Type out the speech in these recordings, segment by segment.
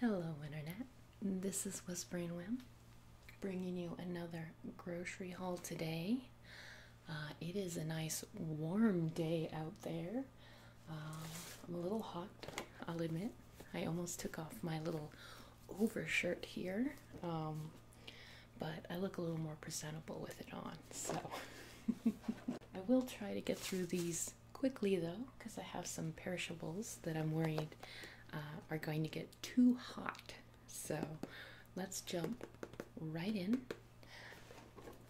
Hello, Internet. This is Whispering Whim bringing you another grocery haul today. Uh, it is a nice warm day out there. Um, I'm a little hot, I'll admit. I almost took off my little overshirt here, um, but I look a little more presentable with it on, so I will try to get through these quickly though, because I have some perishables that I'm worried uh, are going to get too hot. So let's jump right in.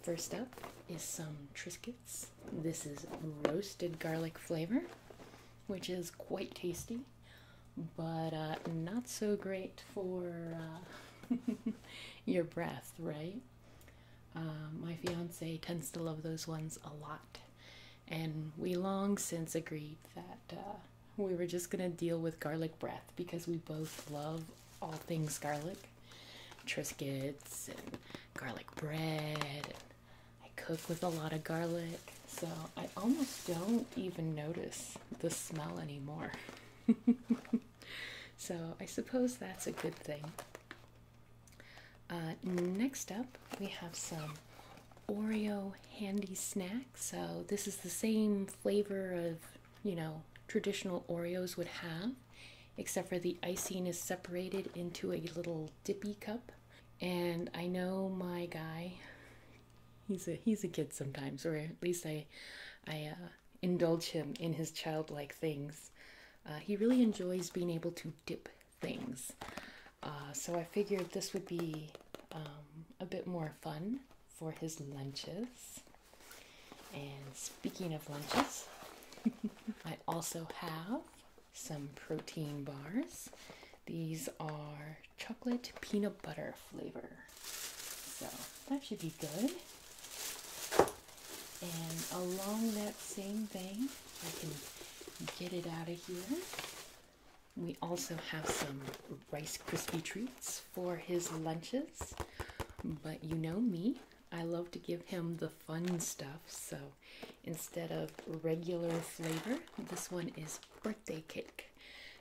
First up is some Triscuits. This is roasted garlic flavor, which is quite tasty, but uh, not so great for uh, your breath, right? my fiance tends to love those ones a lot and we long since agreed that uh, we were just gonna deal with garlic breath because we both love all things garlic triscuits and garlic bread i cook with a lot of garlic so i almost don't even notice the smell anymore so i suppose that's a good thing uh, next up, we have some Oreo handy snacks. So, this is the same flavor of, you know, traditional Oreos would have, except for the icing is separated into a little dippy cup. And I know my guy, he's a he's a kid sometimes, or at least I, I uh, indulge him in his childlike things. Uh, he really enjoys being able to dip things. Uh, so I figured this would be um, a bit more fun for his lunches. And speaking of lunches, I also have some protein bars. These are chocolate peanut butter flavor. So that should be good. And along that same vein, I can get it out of here. We also have some Rice Krispie treats for his lunches. But you know me, I love to give him the fun stuff. So instead of regular flavor, this one is birthday cake.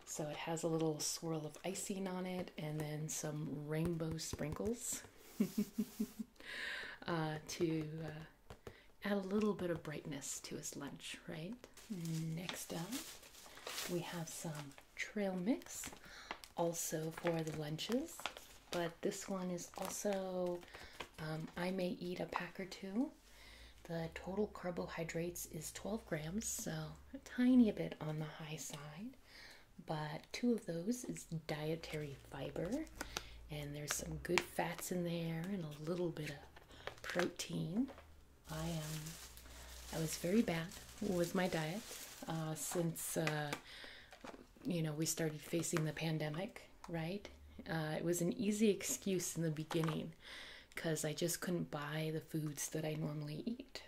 So it has a little swirl of icing on it and then some rainbow sprinkles uh, to uh, add a little bit of brightness to his lunch, right? Next up, we have some trail mix also for the lunches, but this one is also um, I may eat a pack or two. The total carbohydrates is 12 grams, so a tiny bit on the high side, but two of those is dietary fiber, and there's some good fats in there and a little bit of protein. I am. Um, I was very bad with my diet uh, since uh, you know we started facing the pandemic. Right? Uh, it was an easy excuse in the beginning because I just couldn't buy the foods that I normally eat.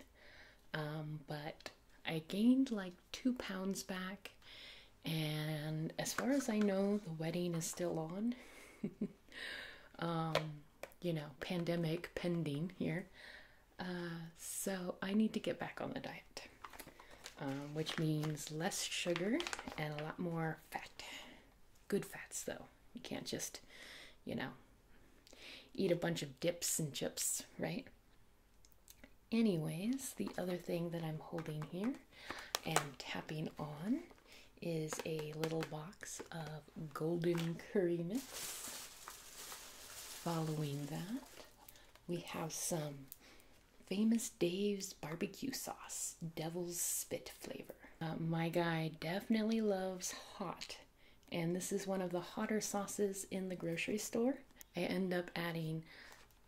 Um, but I gained like two pounds back, and as far as I know, the wedding is still on. Um, you know, pandemic pending here. Uh, so I need to get back on the diet, um, which means less sugar and a lot more fat. Good fats, though. You can't just, you know, eat a bunch of dips and chips, right? Anyways, the other thing that I'm holding here and tapping on is a little box of golden curry mix. Following that, we have some famous Dave's barbecue sauce, devil's spit flavor. Uh, my guy definitely loves hot, and this is one of the hotter sauces in the grocery store. I end up adding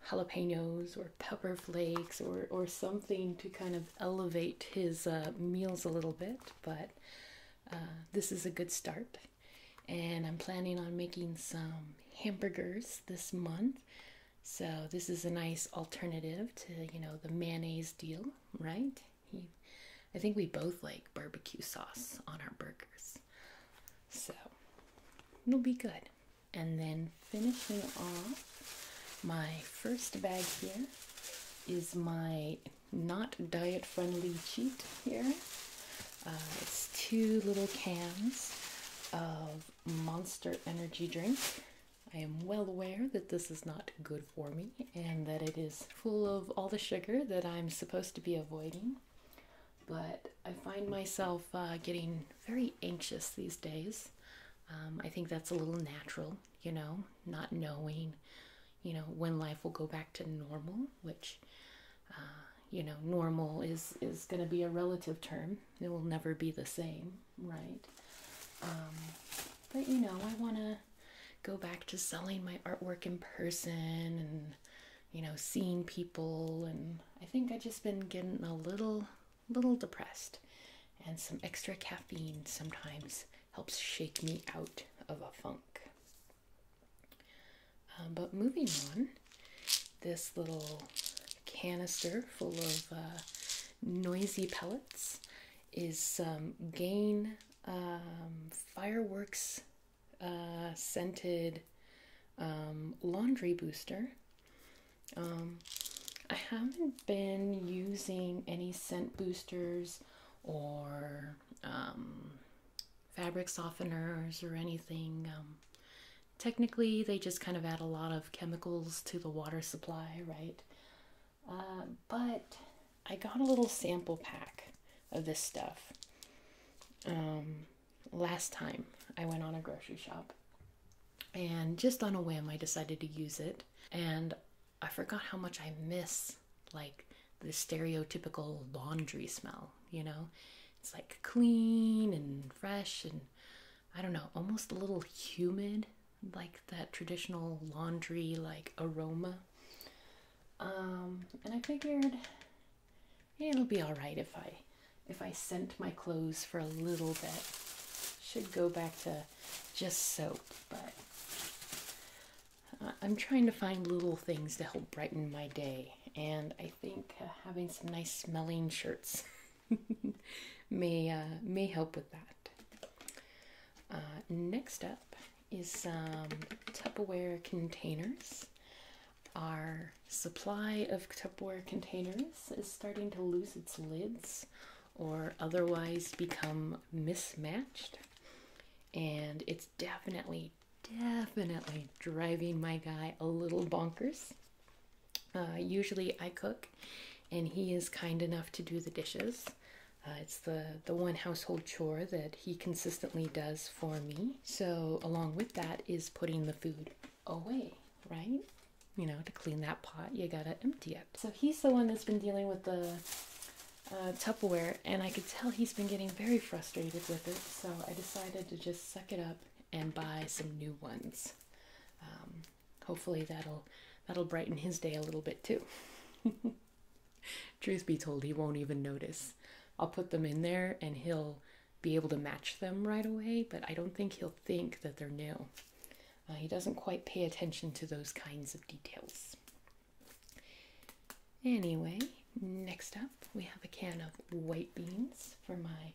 jalapenos or pepper flakes or or something to kind of elevate his uh, meals a little bit but uh, this is a good start and i'm planning on making some hamburgers this month so this is a nice alternative to you know the mayonnaise deal right i think we both like barbecue sauce on our burgers so it'll be good and then finishing off my first bag here is my not diet friendly cheat here. Uh, it's two little cans of Monster Energy Drink. I am well aware that this is not good for me and that it is full of all the sugar that I'm supposed to be avoiding, but I find myself uh, getting very anxious these days. Um, I think that's a little natural, you know, not knowing, you know, when life will go back to normal, which, uh, you know, normal is is going to be a relative term. It will never be the same, right? Um, but you know, I want to go back to selling my artwork in person and you know seeing people and i think i just been getting a little little depressed, and some extra caffeine sometimes helps shake me out of a funk. Um, but moving on, this little canister full of uh, noisy pellets is some Gain um, fireworks uh, scented um, laundry booster um, I haven't been using any scent boosters or um, fabric softeners or anything. Um, technically, they just kind of add a lot of chemicals to the water supply, right? Uh, but I got a little sample pack of this stuff last time I went on a grocery shop and just on a whim I decided to use it and I forgot how much I miss like the stereotypical laundry smell, you know? It's like clean and fresh and I don't know, almost a little humid, like that traditional laundry like aroma. Um, and I figured it'll be all right if I if I scent my clothes for a little bit. Should go back to just soap, but uh, I'm trying to find little things to help brighten my day, and I think uh, having some nice smelling shirts may uh, may help with that. next up is some Tupperware containers. Our supply of Tupperware containers is starting to lose its lids or otherwise become mismatched. And it's definitely, definitely driving my guy a little bonkers. Uh, usually I cook and he is kind enough to do the dishes. Uh, it's the, the one household chore that he consistently does for me. So, along with that, is putting the food away, right? You know, to clean that pot, you gotta empty it. So he's the one that's been dealing with the uh, Tupperware, and I could tell he's been getting very frustrated with it, so I decided to just suck it up and buy some new ones. Um, hopefully that'll that'll brighten his day a little bit too. Truth be told, he won't even notice. I'll put them in there and he'll be able to match them right away, but I don't think he'll think that they're new. Uh, he doesn't quite pay attention to those kinds of details. Anyway, next up we have a can of white beans for my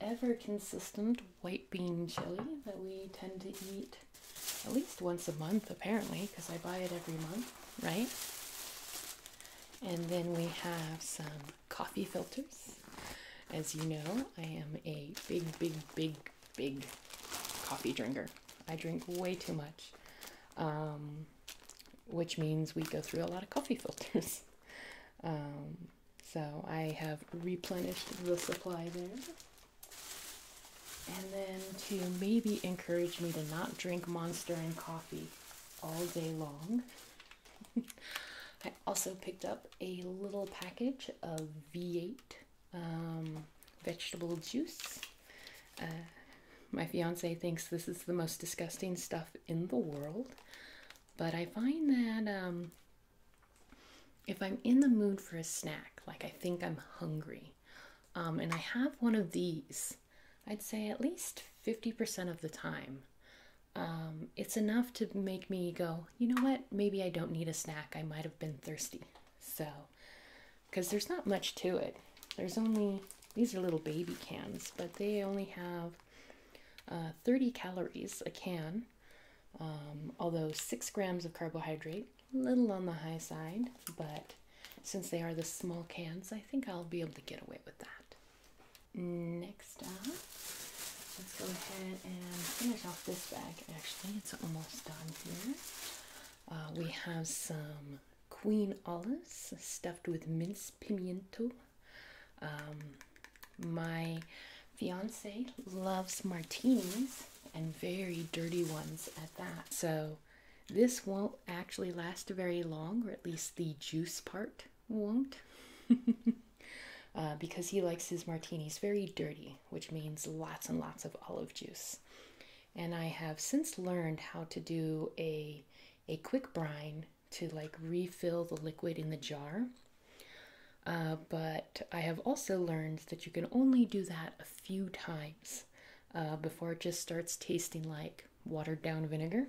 ever consistent white bean chili that we tend to eat at least once a month apparently because I buy it every month, right? And then we have some coffee filters. As you know, I am a big, big, big, big coffee drinker. I drink way too much, um, which means we go through a lot of coffee filters. Um, so I have replenished the supply there. And then to maybe encourage me to not drink Monster and coffee all day long, I also picked up a little package of V8 um, vegetable juice. Uh, my fiance thinks this is the most disgusting stuff in the world, but I find that um, if I'm in the mood for a snack, like I think I'm hungry, um, and I have one of these, I'd say at least 50% of the time um, it's enough to make me go, you know what, maybe I don't need a snack. I might have been thirsty. So, because there's not much to it. There's only, these are little baby cans, but they only have uh, 30 calories a can, um, although 6 grams of carbohydrate, a little on the high side, but since they are the small cans, I think I'll be able to get away with that. Next let's go ahead and finish off this bag. Actually, it's almost done here. Uh, we have some queen olives stuffed with minced pimiento. Um, my fiance loves martinis and very dirty ones at that. So this won't actually last very long, or at least the juice part won't. Uh, because he likes his martinis very dirty, which means lots and lots of olive juice. And I have since learned how to do a a quick brine to like refill the liquid in the jar. Uh, but I have also learned that you can only do that a few times uh, before it just starts tasting like watered down vinegar,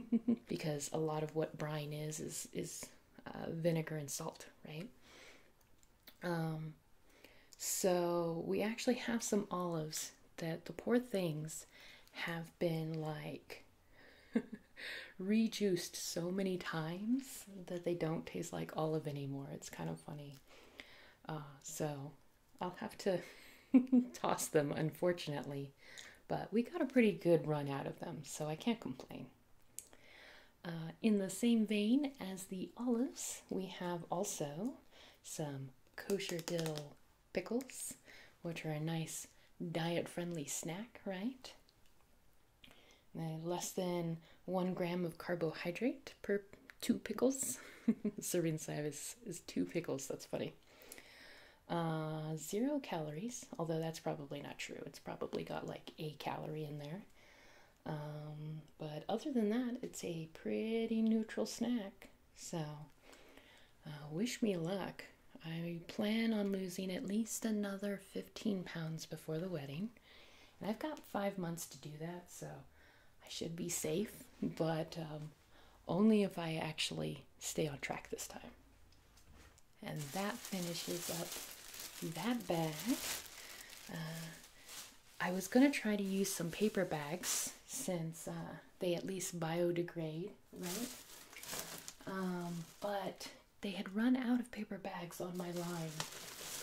because a lot of what brine is is is uh, vinegar and salt, right? Um, so we actually have some olives that the poor things have been like rejuiced so many times that they don't taste like olive anymore. It's kind of funny. Uh, so I'll have to toss them, unfortunately. But we got a pretty good run out of them, so I can't complain. Uh, in the same vein as the olives, we have also some kosher dill pickles, which are a nice diet friendly snack, right? Uh, less than one gram of carbohydrate per two pickles. Serving size is, two pickles, that's funny. Uh, zero calories, although that's probably not true. It's probably got like a calorie in there. Um, but other than that, it's a pretty neutral snack. So, uh, wish me luck. I plan on losing at least another 15 pounds before the wedding. And I've got five months to do that, so I should be safe, but um, only if I actually stay on track this time. And that finishes up that bag. Uh, I was going to try to use some paper bags since uh, they at least biodegrade, right? Um, but they had run out of paper bags on my line.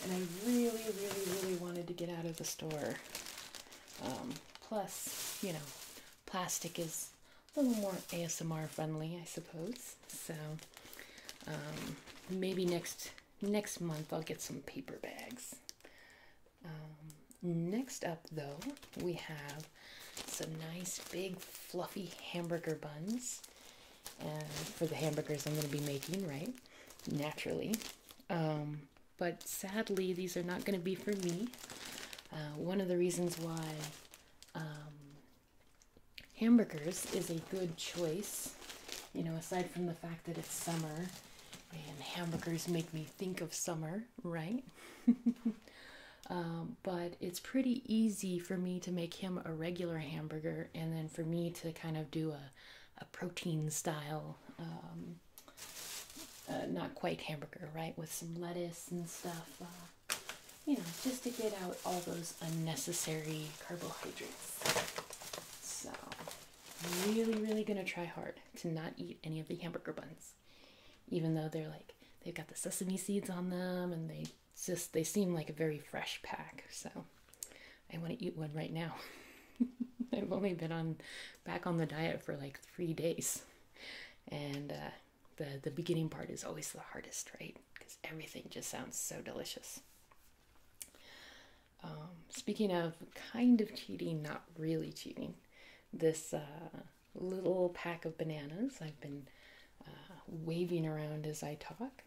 And I really, really, really wanted to get out of the store. Um, plus, you know, plastic is a little more ASMR friendly, I suppose. So um, maybe next next month I'll get some paper bags. Um, next up, though, we have some nice big fluffy hamburger buns. And for the hamburgers I'm going to be making, right? Naturally. Um, but sadly, these are not going to be for me. Uh, one of the reasons why hamburgers is a good choice. You know, aside from the fact that it's summer and hamburgers make me think of summer, right? Um, but it's pretty easy for me to make him a regular hamburger and then for me to kind of do a, a protein style, um, uh, not quite hamburger, right? With some lettuce and stuff. Uh, you know, just to get out all those unnecessary carbohydrates. So, I'm really, really gonna try hard to not eat any of the hamburger buns, even though they're like they've got the sesame seeds on them and they just they seem like a very fresh pack. So, I want to eat one right now. I've only been on back on the diet for like three days, and uh, the the beginning part is always the hardest, right? because everything just sounds so delicious. Um, speaking of kind of cheating, not really cheating, this uh, little pack of bananas I've been uh, waving around as I talk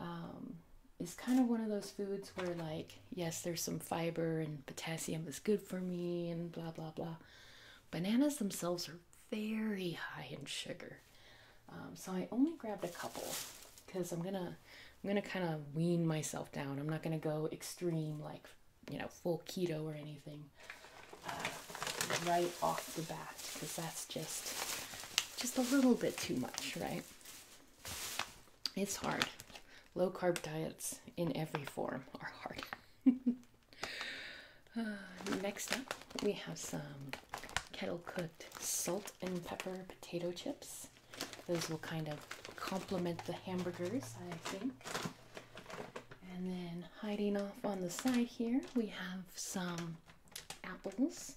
um, is kind of one of those foods where, like, yes, there's some fiber and potassium is good for me and blah blah blah. Bananas themselves are very high in sugar. Um, so I only grabbed a couple because I'm gonna I'm gonna kind of wean myself down. I'm not gonna go extreme like you know full keto or anything uh, right off the bat because that's just just a little bit too much, right? It's hard. Low carb diets in every form are hard. Uh, next up, we have some kettle cooked salt and pepper potato chips. Those will kind of complement the hamburgers, I think. And then hiding off on the side here, we have some apples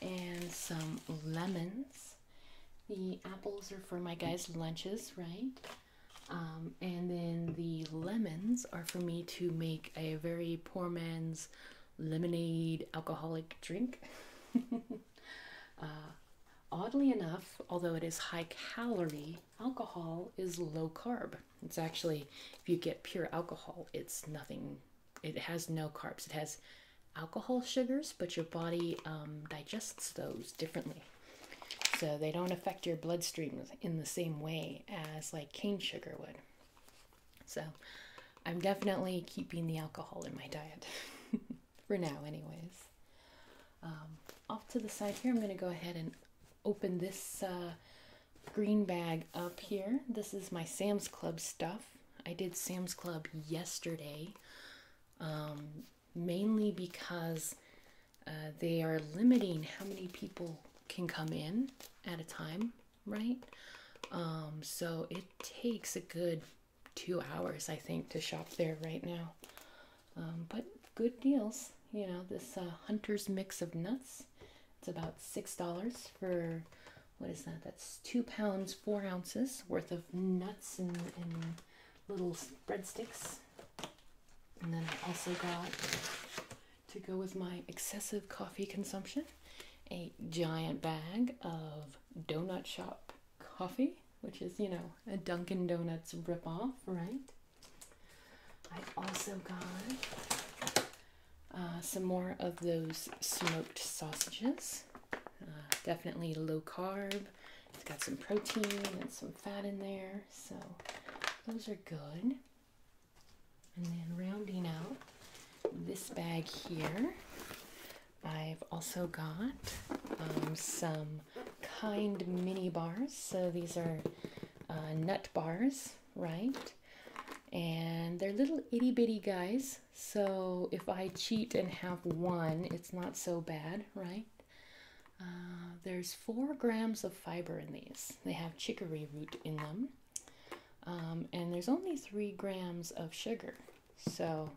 and some lemons. The apples are for my guys' lunches, right? Um, and then the lemons are for me to make a very poor man's lemonade alcoholic drink. Uh, oddly enough, although it is high calorie, alcohol is low carb. It's actually, if you get pure alcohol, it's nothing, it has no carbs. It has alcohol sugars, but your body um, digests those differently. So they don't affect your bloodstream in the same way as like cane sugar would. So I'm definitely keeping the alcohol in my diet for now, anyways. Um, off to the side here, I'm going to go ahead and open this uh, green bag up here. This is my Sam's Club stuff. I did Sam's Club yesterday, um, mainly because uh, they are limiting how many people can come in at a time right? Um, so it takes a good two hours, I think, to shop there right now. Um, but good deals, you know, this uh, Hunter's Mix of Nuts. It's about $6 for, what is that? That's two pounds, four ounces worth of nuts and, and little breadsticks. And then I also got to go with my excessive coffee consumption a giant bag of donut shop coffee, which is, you know, a Dunkin' Donuts ripoff, right? I also got uh, some more of those smoked sausages. Uh, definitely low carb. It's got some protein and some fat in there, so those are good. And then rounding out this bag here, I've also got um, some kind mini bars. So these are uh, nut bars, right? And they're little itty bitty guys. So if I cheat and have one, it's not so bad, right? Uh, there's four grams of fiber in these. They have chicory root in them. Um, and there's only three grams of sugar. So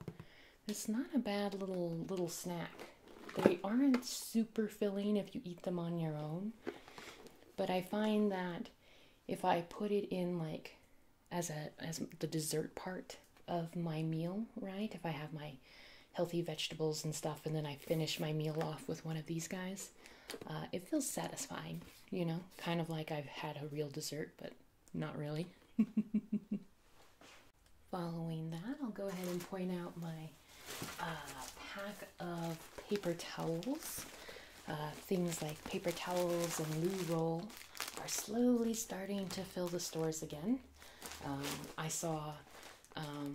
it's not a bad little little snack. They aren't super filling if you eat them on your own. But I find that if I put it in like as a as the dessert part of my meal, right? If I have my healthy vegetables and stuff and then I finish my meal off with one of these guys, uh, it feels satisfying you know, kind of like I've had a real dessert, but not really. Following that, I'll go ahead and point out my uh, pack of paper towels. Uh, things like paper towels and loo roll are slowly starting to fill the stores again. Um, I saw um,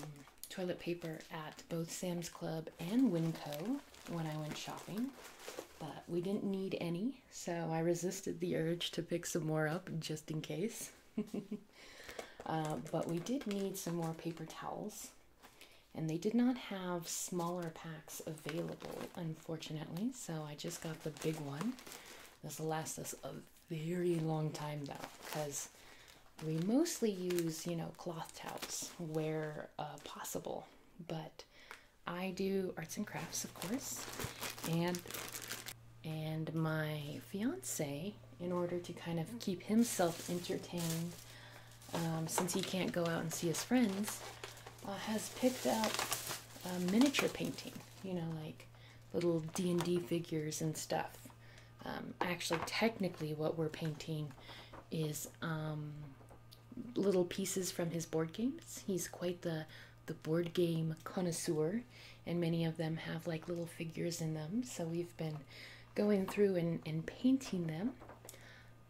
toilet paper at both Sam's Club and Winco when I went shopping, but we didn't need any, so I resisted the urge to pick some more up just in case. Uh, but we did need some more paper towels, and they did not have smaller packs available, unfortunately, so I just got the big one. This will last us a very long time though, because we mostly use, you know, cloth towels where uh, possible, but I do arts and crafts, of course, and and my fiance, in order to kind of keep himself entertained, um, since he can't go out and see his friends, uh, has picked out miniature painting. You know, like little D and D figures and stuff. Um, actually, technically, what we're painting is um, little pieces from his board games. He's quite the the board game connoisseur, and many of them have like little figures in them. So we've been going through and, and painting them.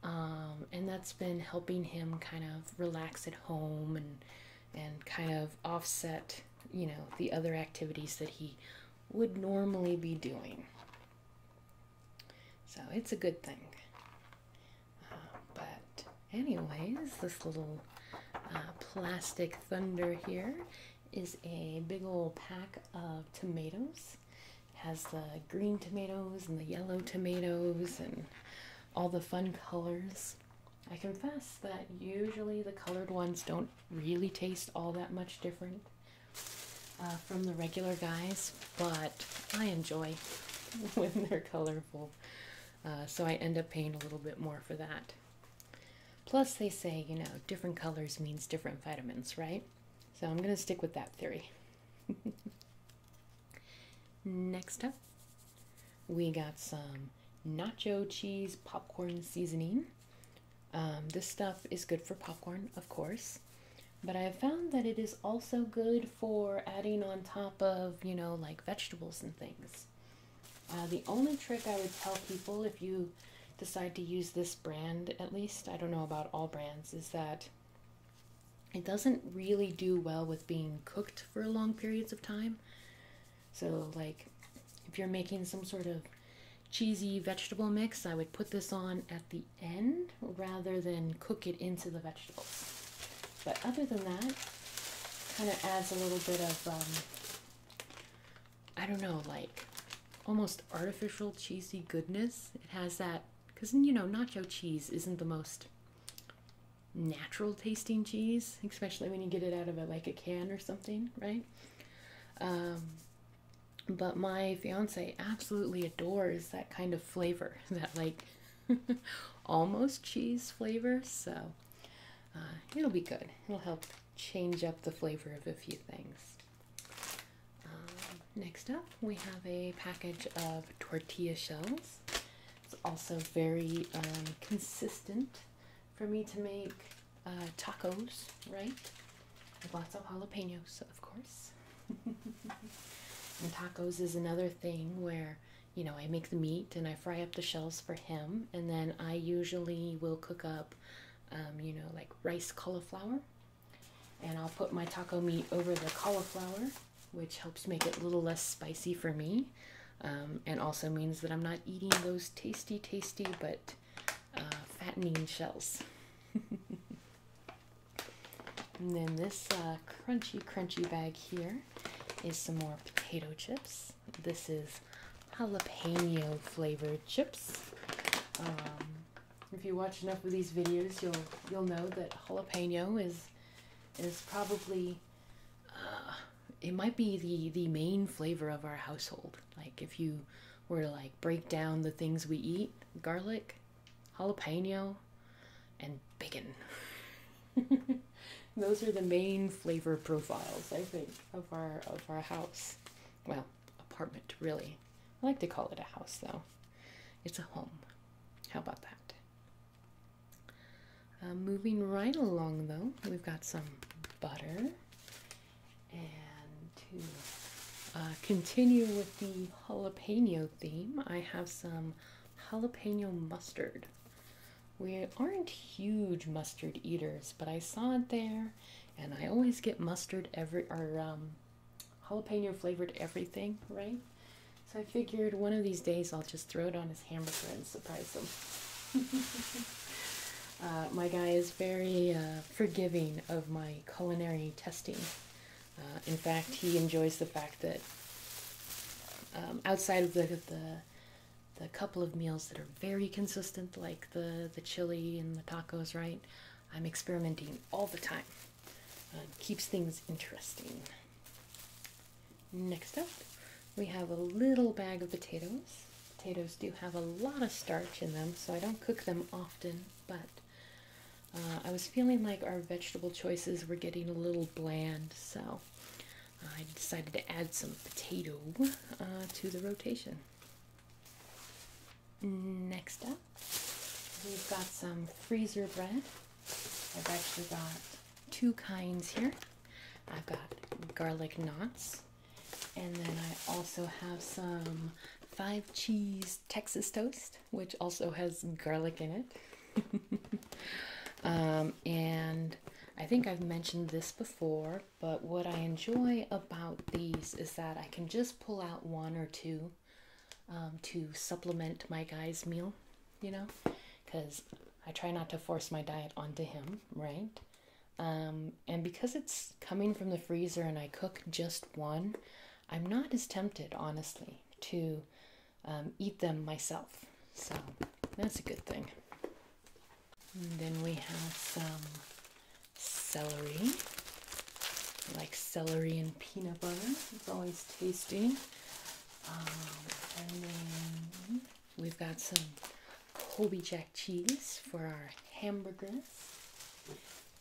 Um, and that's been helping him kind of relax at home and and kind of offset, you know, the other activities that he would normally be doing. So it's a good thing but, anyways, this little uh, plastic thunder here is a big old pack of tomatoes. has the green tomatoes and the yellow tomatoes and all the fun colors. I confess that usually the colored ones don't really taste all that much different uh, from the regular guys, but I enjoy when they're colored. Uh, so I end up paying a little bit more for that. Plus, they say, you know, different colors means different vitamins, right? So I'm going to stick with that theory. Next up, we got some nacho cheese popcorn seasoning. Um, this stuff is good for popcorn, of course. But I have found that it is also good for adding on top of, you know, like vegetables and things. Uh, the only trick I would tell people if you decide to use this brand, at least, I don't know about all brands, is that it doesn't really do well with being cooked for long periods of time. So, like, if you're making some sort of cheesy vegetable mix, I would put this on at the end rather than cook it into the vegetables. But other than that, kind of adds a little bit of, um, I don't know, like almost artificial cheesy goodness. It has that, because, you know, nacho cheese isn't the most natural tasting cheese, especially when you get it out of a, like a can or something, right? Um, but my fiance absolutely adores that kind of flavor, that like almost cheese flavor, so uh, it'll be good. It'll help change up the flavor of a few things. Um, next up, we have a package of tortilla shells. It's also very um, consistent for me to make uh, tacos, right? With lots of jalapenos, of course. and tacos is another thing where you know, I make the meat and I fry up the shells for him, and then I usually will cook up, um, you know, like rice cauliflower, and I'll put my taco meat over the cauliflower, which helps make it a little less spicy for me, um, and also means that I'm not eating those tasty, tasty but uh, fattening shells. And then this uh, crunchy, crunchy bag here is some more potato chips. This is jalapeno flavored chips. Um, if you watch enough of these videos, you'll you'll know that jalapeno is is probably uh, it might be the the main flavor of our household. Like if you were to like break down the things we eat, garlic, jalapeno, and bacon. Those are the main flavor profiles, I think, of our of our house. Well, apartment really. I like to call it a house though. It's a home. How about that? Uh, moving right along though, we've got some butter. And to uh, continue with the jalapeno theme, I have some jalapeno mustard. We aren't huge mustard eaters, but I saw it there, and I always get mustard every or um, jalapeno flavored everything, right? So I figured one of these days I'll just throw it on his hamburger and surprise him. Uh, my guy is very uh, forgiving of my culinary testing. Uh, in fact, he enjoys the fact that um, outside of the, the couple of meals that are very consistent, like the the chili and the tacos, right? I'm experimenting all the time. Uh, keeps things interesting. Next up, we have a little bag of potatoes. Potatoes do have a lot of starch in them, so I don't cook them often, but uh, I was feeling like our vegetable choices were getting a little bland so I decided to add some potato uh, to the rotation. Next up, we've got some freezer bread. I've actually got two kinds here. I've got garlic knots, and then I also have some five cheese Texas toast, which also has garlic in it. Um, and I think I've mentioned this before, but what I enjoy about these is that I can just pull out one or two um, to supplement my guy's meal, you know, because I try not to force my diet onto him, right? Um, and because it's coming from the freezer and I cook just one, I'm not as tempted, honestly, to um, eat them myself. So that's a good thing. then we have some celery. like celery and peanut butter. It's always tasty. Um, we've got some Colby Jack cheese for our hamburgers.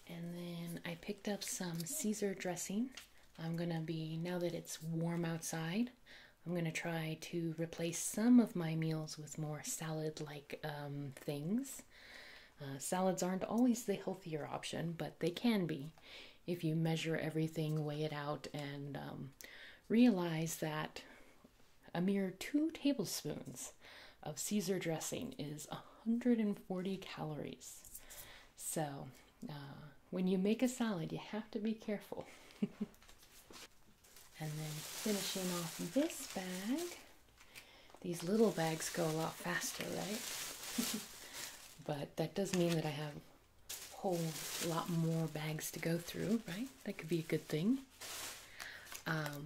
And then I picked up some Caesar dressing. I'm gonna be, now that it's warm outside, I'm gonna try to replace some of my meals with more salad like um, things. Uh, salads aren't always the healthier option, but they can be if you measure everything, weigh it out, and um, realize that a mere two tablespoons of Caesar dressing is 140 calories. So uh, when you make a salad, you have to be careful. and then finishing off this bag. These little bags go a lot faster, right? but that does mean that I have a whole lot more bags to go through, right? That could be a good thing. Um,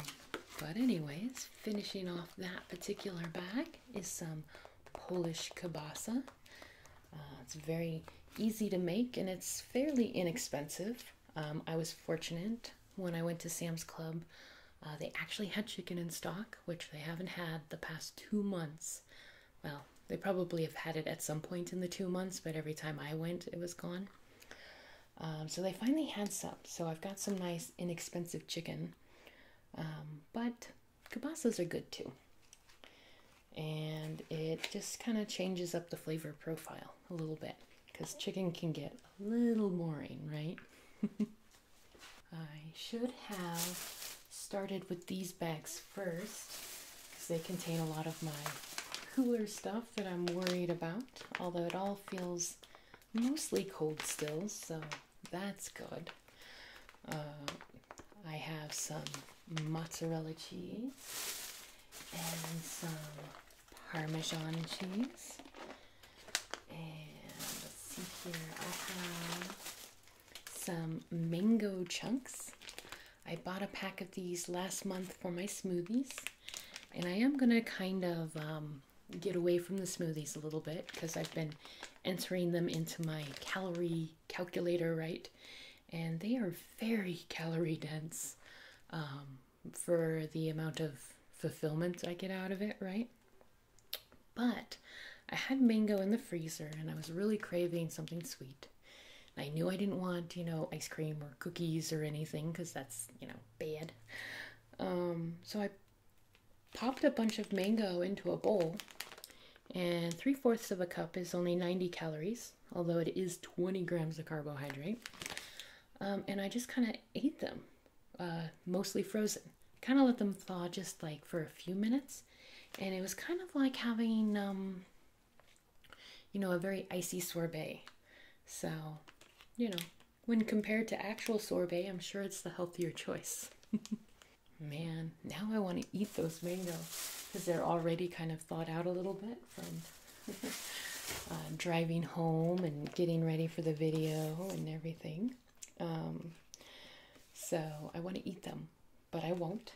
but anyways, finishing off that particular bag is some Polish kielbasa. Uh, it's very easy to make and it's fairly inexpensive. Um, I was fortunate when I went to Sam's Club. Uh, they actually had chicken in stock, which they haven't had the past two months. Well, they probably have had it at some point in the two months, but every time I went, it was gone. Um, so they finally had some. So I've got some nice, inexpensive chicken. Um, but Kielbasa's are good too. And it just kind of changes up the flavor profile a little bit because chicken can get a little boring, right? I should have started with these bags first because they contain a lot of my cooler stuff that I'm worried about, although it all feels mostly cold still, so that's good. Uh, I have some mozzarella cheese and some parmesan cheese. And let's see here, I have some mango chunks. I bought a pack of these last month for my smoothies, and I am going to kind of um, get away from the smoothies a little bit because I've been entering them into my calorie calculator right and they are very calorie dense um, for the amount of fulfillment i get out of it right but i had mango in the freezer and i was really craving something sweet i knew i didn't want you know ice cream or cookies or anything because that's you know bad um, so i popped a bunch of mango into a bowl and 3 fourths of a cup is only 90 calories, although it is 20 grams of carbohydrate. Um, and I just kind of ate them, uh, mostly frozen. Kind of let them thaw just like for a few minutes. And it was kind of like having, um, you know, a very icy sorbet. So, you know, when compared to actual sorbet, I'm sure it's the healthier choice. Man, now I want to eat those mangoes because they're already kind of thawed out a little bit from uh, driving home and getting ready for the video and everything. Um, so I want to eat them, but I won't.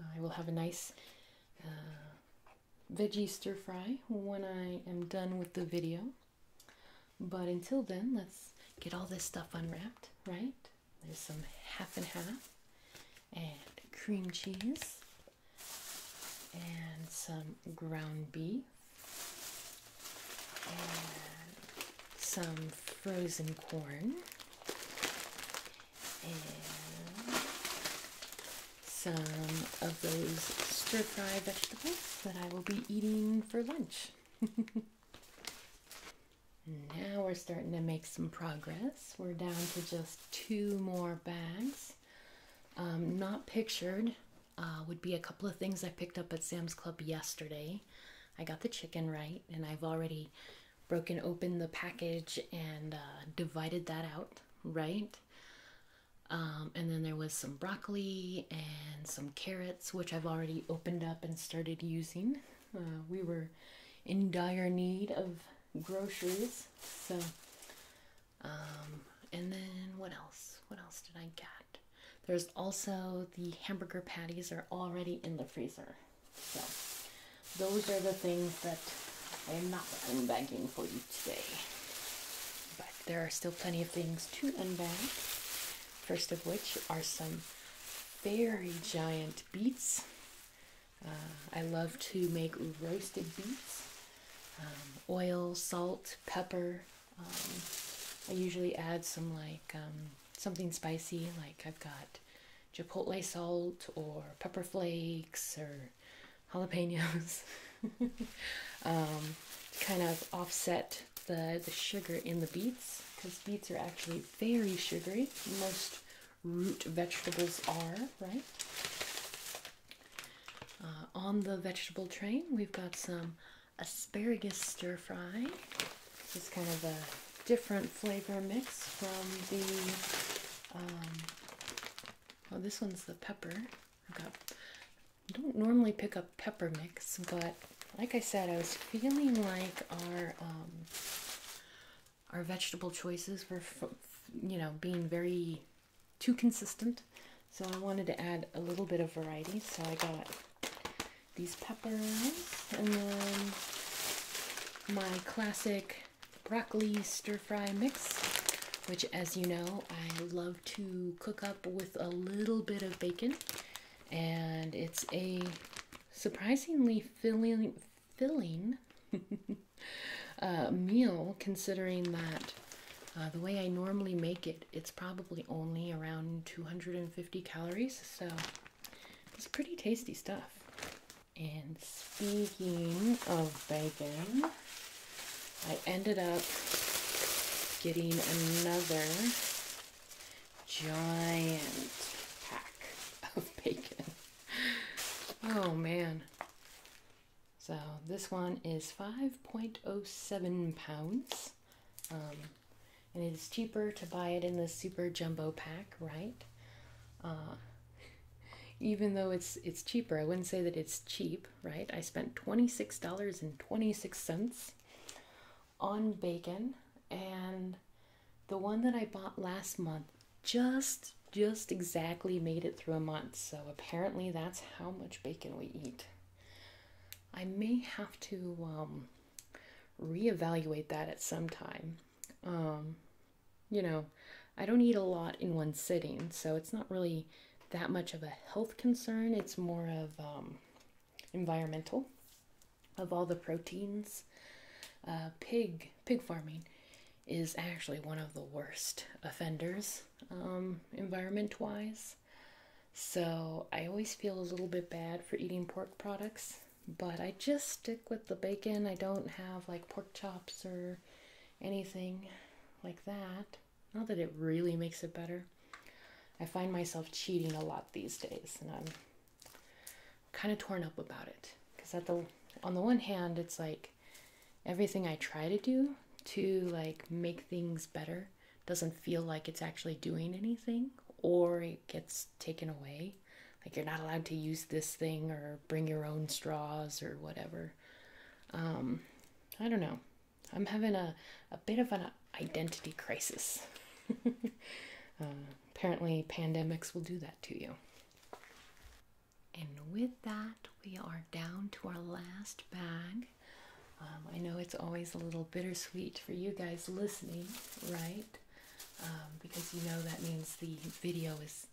Uh, I will have a nice uh, veggie stir fry when I am done with the video. But until then, let's get all this stuff unwrapped, right? There's some half and half, and cream cheese, and some ground beef, and some frozen corn, and some of those stir fry vegetables that I will be eating for lunch. Now we're starting to make some progress. We're down to just two more bags. Um, not pictured uh, would be a couple of things I picked up at Sam's Club yesterday. I got the chicken right, and I've already broken open the package and uh, divided that out, right? Um, and then there was some broccoli and some carrots, which I've already opened up and started using. Uh, we were in dire need of groceries, so um, and then what else? What else did I get? There's also the hamburger patties are already in the freezer, so those are the things that I'm not unbagging for you today. But there are still plenty of things to unbag. First of which are some very giant beets. Uh, I love to make roasted beets, um, oil, salt, pepper. Um, I usually add some like um, something spicy, like I've got chipotle salt or pepper flakes or jalapenos, to kind of offset the the sugar in the beets because beets are actually very sugary. Most root vegetables are, right? Uh, on the vegetable train, we've got some asparagus stir fry. This is kind of a different flavor mix from the. Oh, this one's the pepper. I've got. I don't normally pick up pepper mix, but like I said, I was feeling like our um, our vegetable choices were, you know, being very too consistent. So I wanted to add a little bit of variety. So I got these peppers and then my classic broccoli stir fry mix, which as you know, I love to cook up with a little bit of bacon and it's a surprisingly filling filling uh, meal, considering that uh, the way I normally make it, it's probably only around 250 calories. So it's pretty tasty stuff. And speaking of bacon, I ended up getting another giant pack of bacon. oh man. So this one is 5.07 pounds. Um, and it is cheaper to buy it in the super jumbo pack, right? Uh, even though it's it's cheaper, I wouldn't say that it's cheap, right? I spent $26.26 26 dollars 26 on bacon and the one that I bought last month just just exactly made it through a month, so apparently that's how much bacon we eat. I may have to um, reevaluate that at some time. Um, you know, I don't eat a lot in one sitting, so it's not really that much of a health concern. It's more of um, environmental, of all the proteins. Uh, pig pig farming is actually one of the worst offenders um, environment wise. So I always feel a little bit bad for eating pork products, but I just stick with the bacon. I don't have like pork chops or anything like that. Not that it really makes it better. I find myself cheating a lot these days, and I'm kind of torn up about it because at the on the one hand it's like everything I try to do to like make things better doesn't feel like it's actually doing anything or it gets taken away like you're not allowed to use this thing or bring your own straws or whatever um, i don't know i'm having a, a bit of an identity crisis uh, apparently pandemics will do that to you and with that, we are down to our last bag. Um, I know it's always a little bittersweet for you guys listening, right? Um, because you know that means the video is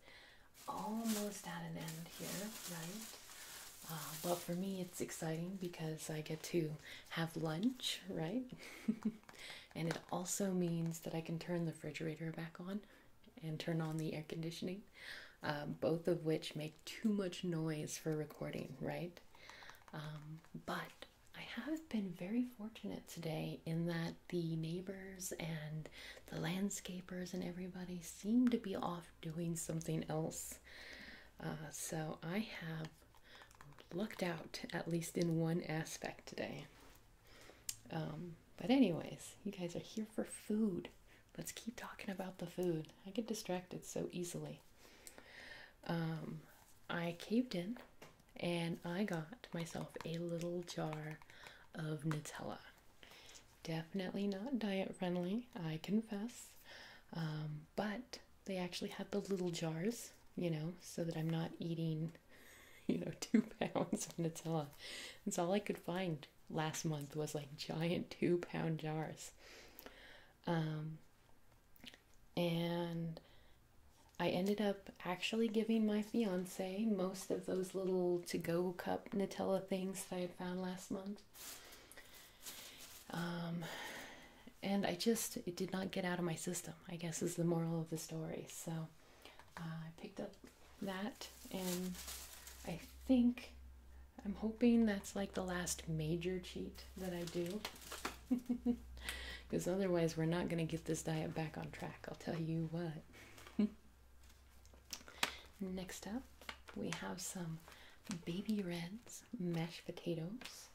almost at an end here, right? Uh, but for me, it's exciting because I get to have lunch, right? and it also means that I can turn the refrigerator back on and turn on the air conditioning, um, both of which make too much noise for recording, right? Um, but I have been very fortunate today in that the neighbors and the landscapers and everybody seem to be off doing something else. Uh, so I have lucked out, at least in one aspect today. Um, but, anyways, you guys are here for food. Let's keep talking about the food. I get distracted so easily. Um, I caved in and I got myself a little jar of Nutella. Definitely not diet friendly, I confess. Um, but they actually have the little jars, you know, so that I'm not eating you know, two pounds of Nutella. That's all I could find last month was like giant two pound jars. Um, and I ended up actually giving my fiance most of those little to go cup Nutella things that I had found last month. Um, and I just, it did not get out of my system, I guess is the moral of the story. So uh, I picked up that, and I think I'm hoping that's like the last major cheat that I do. Because otherwise, we're not going to get this diet back on track, I'll tell you what. Next up, we have some Baby Reds mashed potatoes.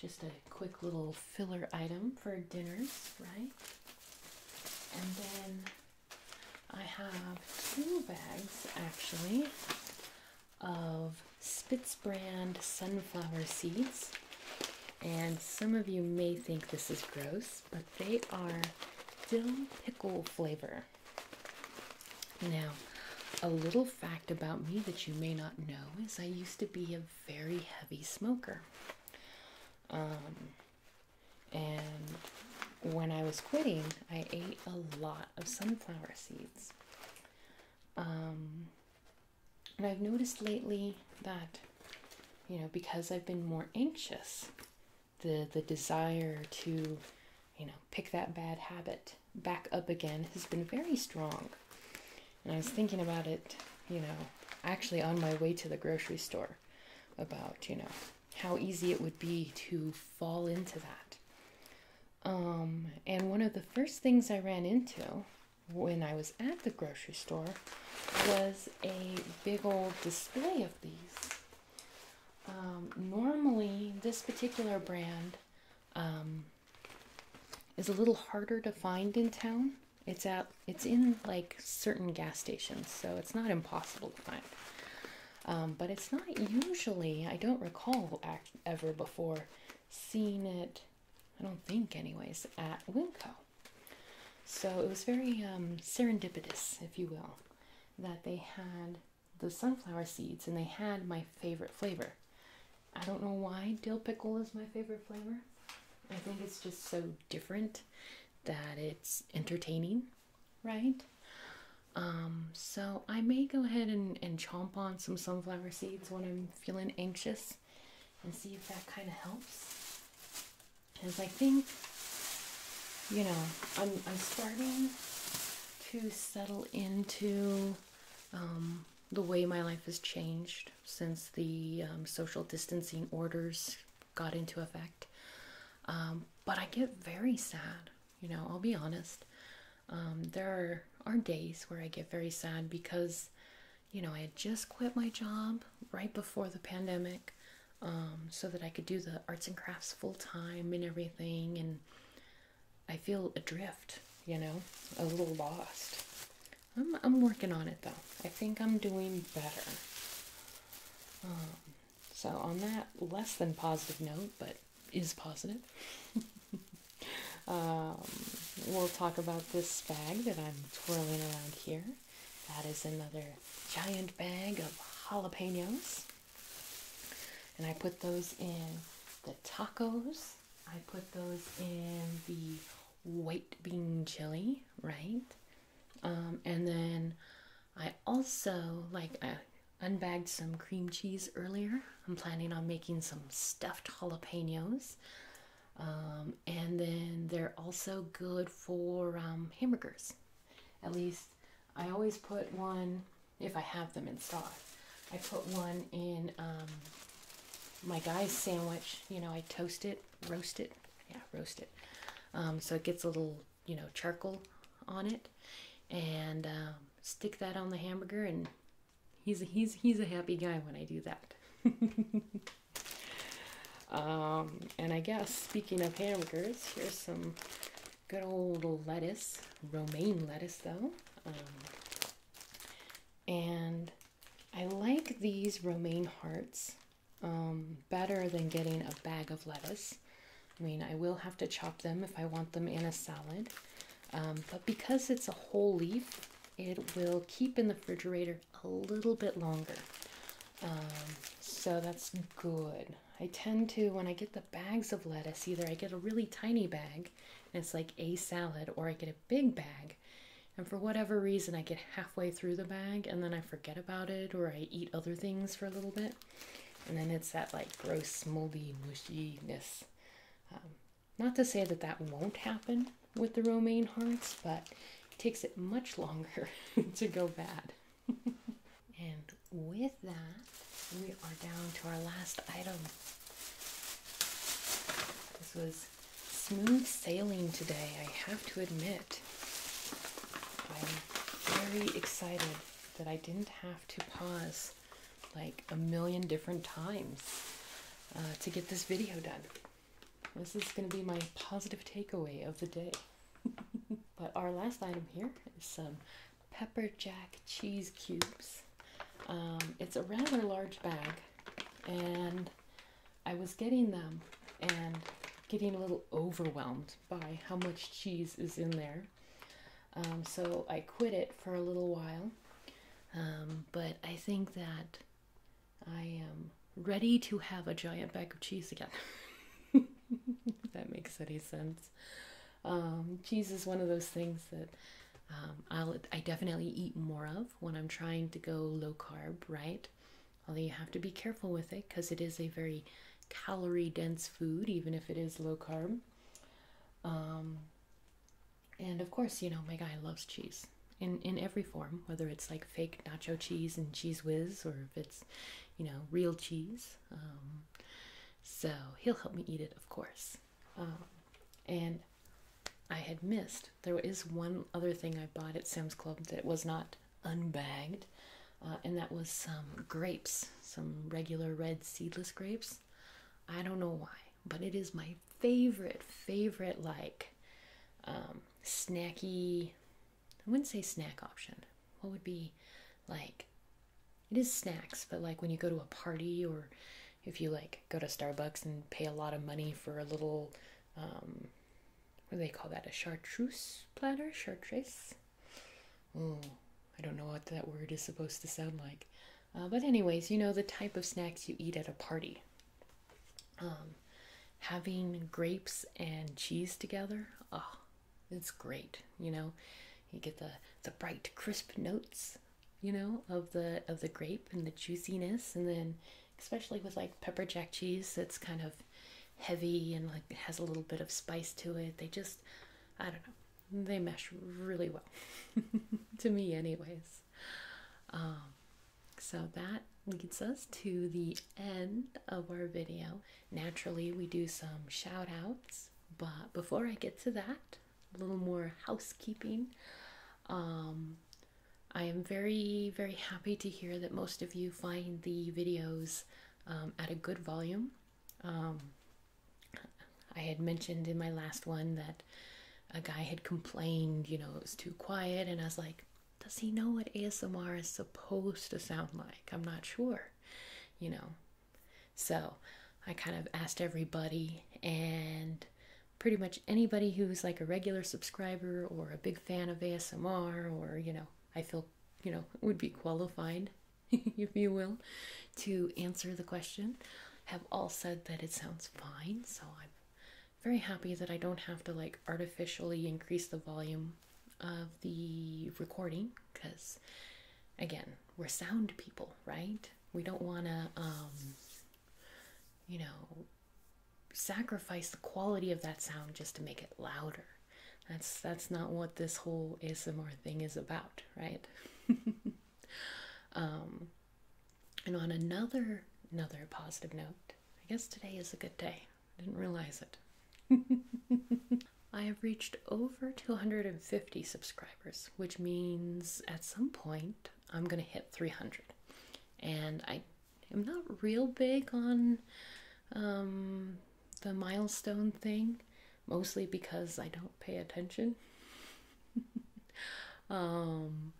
Just a quick little filler item for dinners, right? And then I have two bags actually of Spitz brand sunflower seeds. And some of you may think this is gross, but they are dill pickle flavor. Now, a little fact about me that you may not know is I used to be a very heavy smoker. Um, and when I was quitting, I ate a lot of sunflower seeds. Um, and I've noticed lately that, you know, because I've been more anxious, the, the desire to, you know, pick that bad habit back up again has been very strong. And I was thinking about it, you know, actually on my way to the grocery store about, you know, how easy it would be to fall into that. Um, and one of the first things I ran into when I was at the grocery store was a big old display of these. Um, normally, this particular brand um, is a little harder to find in town. It's at it's in like certain gas stations, so it's not impossible to find. Um, but it's not usually. I don't recall act, ever before seeing it. I don't think, anyways, at Winco. So it was very um, serendipitous, if you will, that they had the sunflower seeds and they had my favorite flavor. I don't know why dill pickle is my favorite flavor. I think it's just so different that it's entertaining, right? Um, so I may go ahead and, and chomp on some sunflower seeds when I'm feeling anxious and see if that kind of helps. Because I think, you know, I'm, I'm starting to settle into um, the way my life has changed since the um, social distancing orders got into effect. Um, but I get very sad, you know, I'll be honest. Um, there are, are days where I get very sad because, you know, I just quit my job right before the pandemic um, so that I could do the arts and crafts full time and everything. And I feel adrift, you know, a little lost. I'm, I'm working on it though. I think I'm doing better. Um, so, on that less than positive note, but is positive, um, we'll talk about this bag that I'm twirling around here. That is another giant bag of jalapenos. And I put those in the tacos. I put those in the white bean chili, right? Um, and then I also like I unbagged some cream cheese earlier. I'm planning on making some stuffed jalapenos. Um, and then they're also good for um, hamburgers. At least I always put one, if I have them in stock, I put one in my guy's sandwich. You know, I toast it, roast it. Yeah, roast it. so it gets a little you know, charcoal on it, and um, stick that on the hamburger. And he's a, he's he's a happy guy when I do that. Um, and I guess speaking of hamburgers, here's some good old lettuce, romaine lettuce though. Um, and I like these romaine hearts um, better than getting a bag of lettuce. I mean, I will have to chop them if I want them in a salad, um, but because it's a whole leaf, it will keep in the refrigerator a little bit longer. Um, so that's good. I tend to, when I get the bags of lettuce, either I get a really tiny bag and it's like a salad, or I get a big bag. And for whatever reason, I get halfway through the bag and then I forget about it or I eat other things for a little bit. And then it's that like gross, moldy, mushiness. Um, not to say that that won't happen with the romaine hearts, but it takes it much longer to go bad. and with that, we are down to our last item. This was smooth sailing today, I have to admit. I'm very excited that I didn't have to pause like a million different times uh, to get this video done. This is going to be my positive takeaway of the day. but our last item here is some pepper jack cheese cubes. Um, it's a rather large bag, and I was getting them and getting a little overwhelmed by how much cheese is in there. Um, so I quit it for a little while. Um, but I think that I am ready to have a giant bag of cheese again. if that makes any sense. Um, cheese is one of those things that I'll I definitely eat more of when I'm trying to go low carb, right? Although you have to be careful with it because it is a very calorie dense food, even if it is low carb. Um, and of course, you know, my guy loves cheese in, in every form, whether it's like fake nacho cheese and cheese whiz or if it's, you know, real cheese. Um, so he'll help me eat it, of course. Um, and I had missed. There is one other thing I bought at Sam's Club that was not unbagged, uh, and that was some grapes, some regular red seedless grapes. I don't know why, but it is my favorite, favorite like um, snacky. I wouldn't say snack option. What would be like? It is snacks, but like when you go to a party or if you like go to Starbucks and pay a lot of money for a little um, what do they call that? A chartreuse platter? Chartreuse? Oh, I don't know what that word is supposed to sound like. Uh, but, anyways, you know the type of snacks you eat at a party. Um, having grapes and cheese together, oh, it's great. You know, you get the, the bright, crisp notes, you know, of the of the grape and the juiciness, and then especially with like pepper jack cheese, it's kind of heavy and like has a little bit of spice to it. They just, I don't know, they mesh really well to me, anyways. Um, so that leads us to the end of our video. Naturally, we do some shout outs, but before I get to that, a little more housekeeping. Um, I am very, very happy to hear that most of you find the videos um, at a good volume. Um, I had mentioned in my last one that a guy had complained, you know, it was too quiet, and I was like, does he know what ASMR is supposed to sound like? I'm not sure, you know. So I kind of asked everybody, and pretty much anybody who's like a regular subscriber or a big fan of ASMR, or, you know, I feel you know would be qualified if you will to answer the question have all said that it sounds fine so i'm very happy that i don't have to like artificially increase the volume of the recording because again we're sound people right we don't want to um you know sacrifice the quality of that sound just to make it louder that's that's not what this whole ASMR thing is about, right? Um, and on another another positive note, I guess today is a good day. I didn't realize it. I have reached over 250 subscribers, which means at some point I'm gonna hit 300. And I am not real big on um, the milestone thing, mostly because I don't pay attention. Um,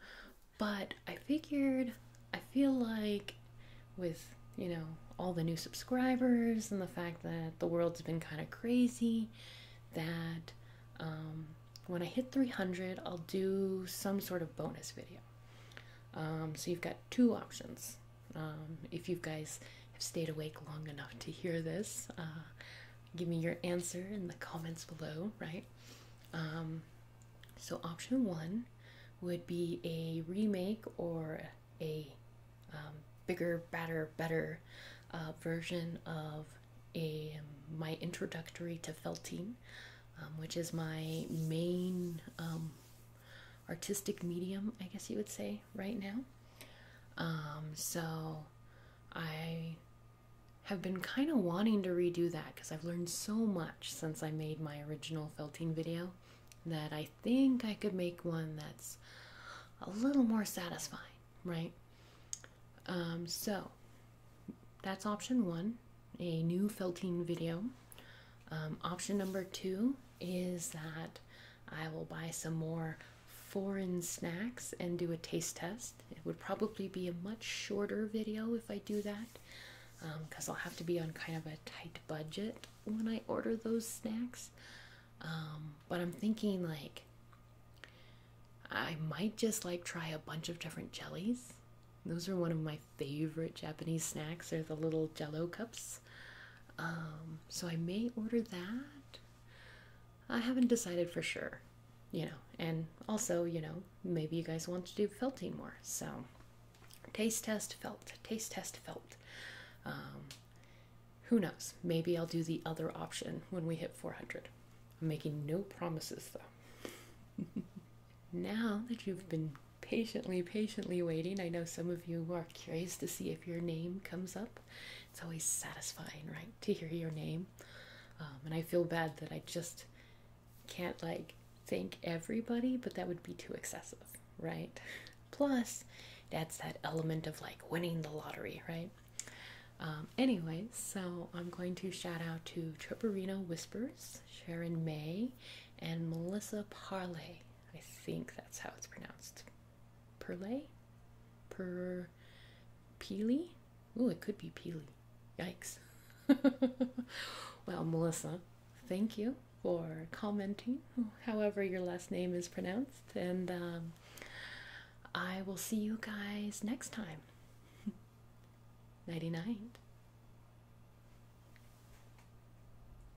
but I figured, I feel like with, you know, all the new subscribers and the fact that the world's been kind of crazy, that um, when I hit 300, I'll do some sort of bonus video. Um, so you've got two options. Um, if you guys have stayed awake long enough to hear this, uh, give me your answer in the comments below, right? Um, so, option one would be a remake or a um, bigger, better, better uh, version of a my introductory to felting, which is my main artistic medium, I guess you would say, right now. Um, so I have been kind of wanting to redo that because I've learned so much since I made my original felting video that I think I could make one that's a little more satisfying, right? Um, so that's option one, a new felting video. Um, option number two is that I will buy some more foreign snacks and do a taste test. It would probably be a much shorter video if I do that because um, I'll have to be on kind of a tight budget when I order those snacks. Um, but I'm thinking like I might just like try a bunch of different jellies. Those are one of my favorite Japanese snacks. are the little jello cups. Um, so I may order that. I haven't decided for sure, you know. And also, you know, maybe you guys want to do felting more. So, taste test felt, taste test felt. Um, who knows? Maybe I'll do the other option when we hit 400. I'm making no promises though. now that you've been patiently, patiently waiting. I know some of you are curious to see if your name comes up. It's always satisfying, right, to hear your name. Um, and I feel bad that I just can't, like, thank everybody, but that would be too excessive, right? Plus, that's that element of, like, winning the lottery, right? Um, anyway, so I'm going to shout out to Tripperino Whispers, Sharon May, and Melissa Parley. I think that's how it's pronounced. Perle? Per. Peely? Oh, it could be Peely. Yikes. well, Melissa, thank you for commenting, however your last name is pronounced, and um, I will see you guys next time. Ninety-nine.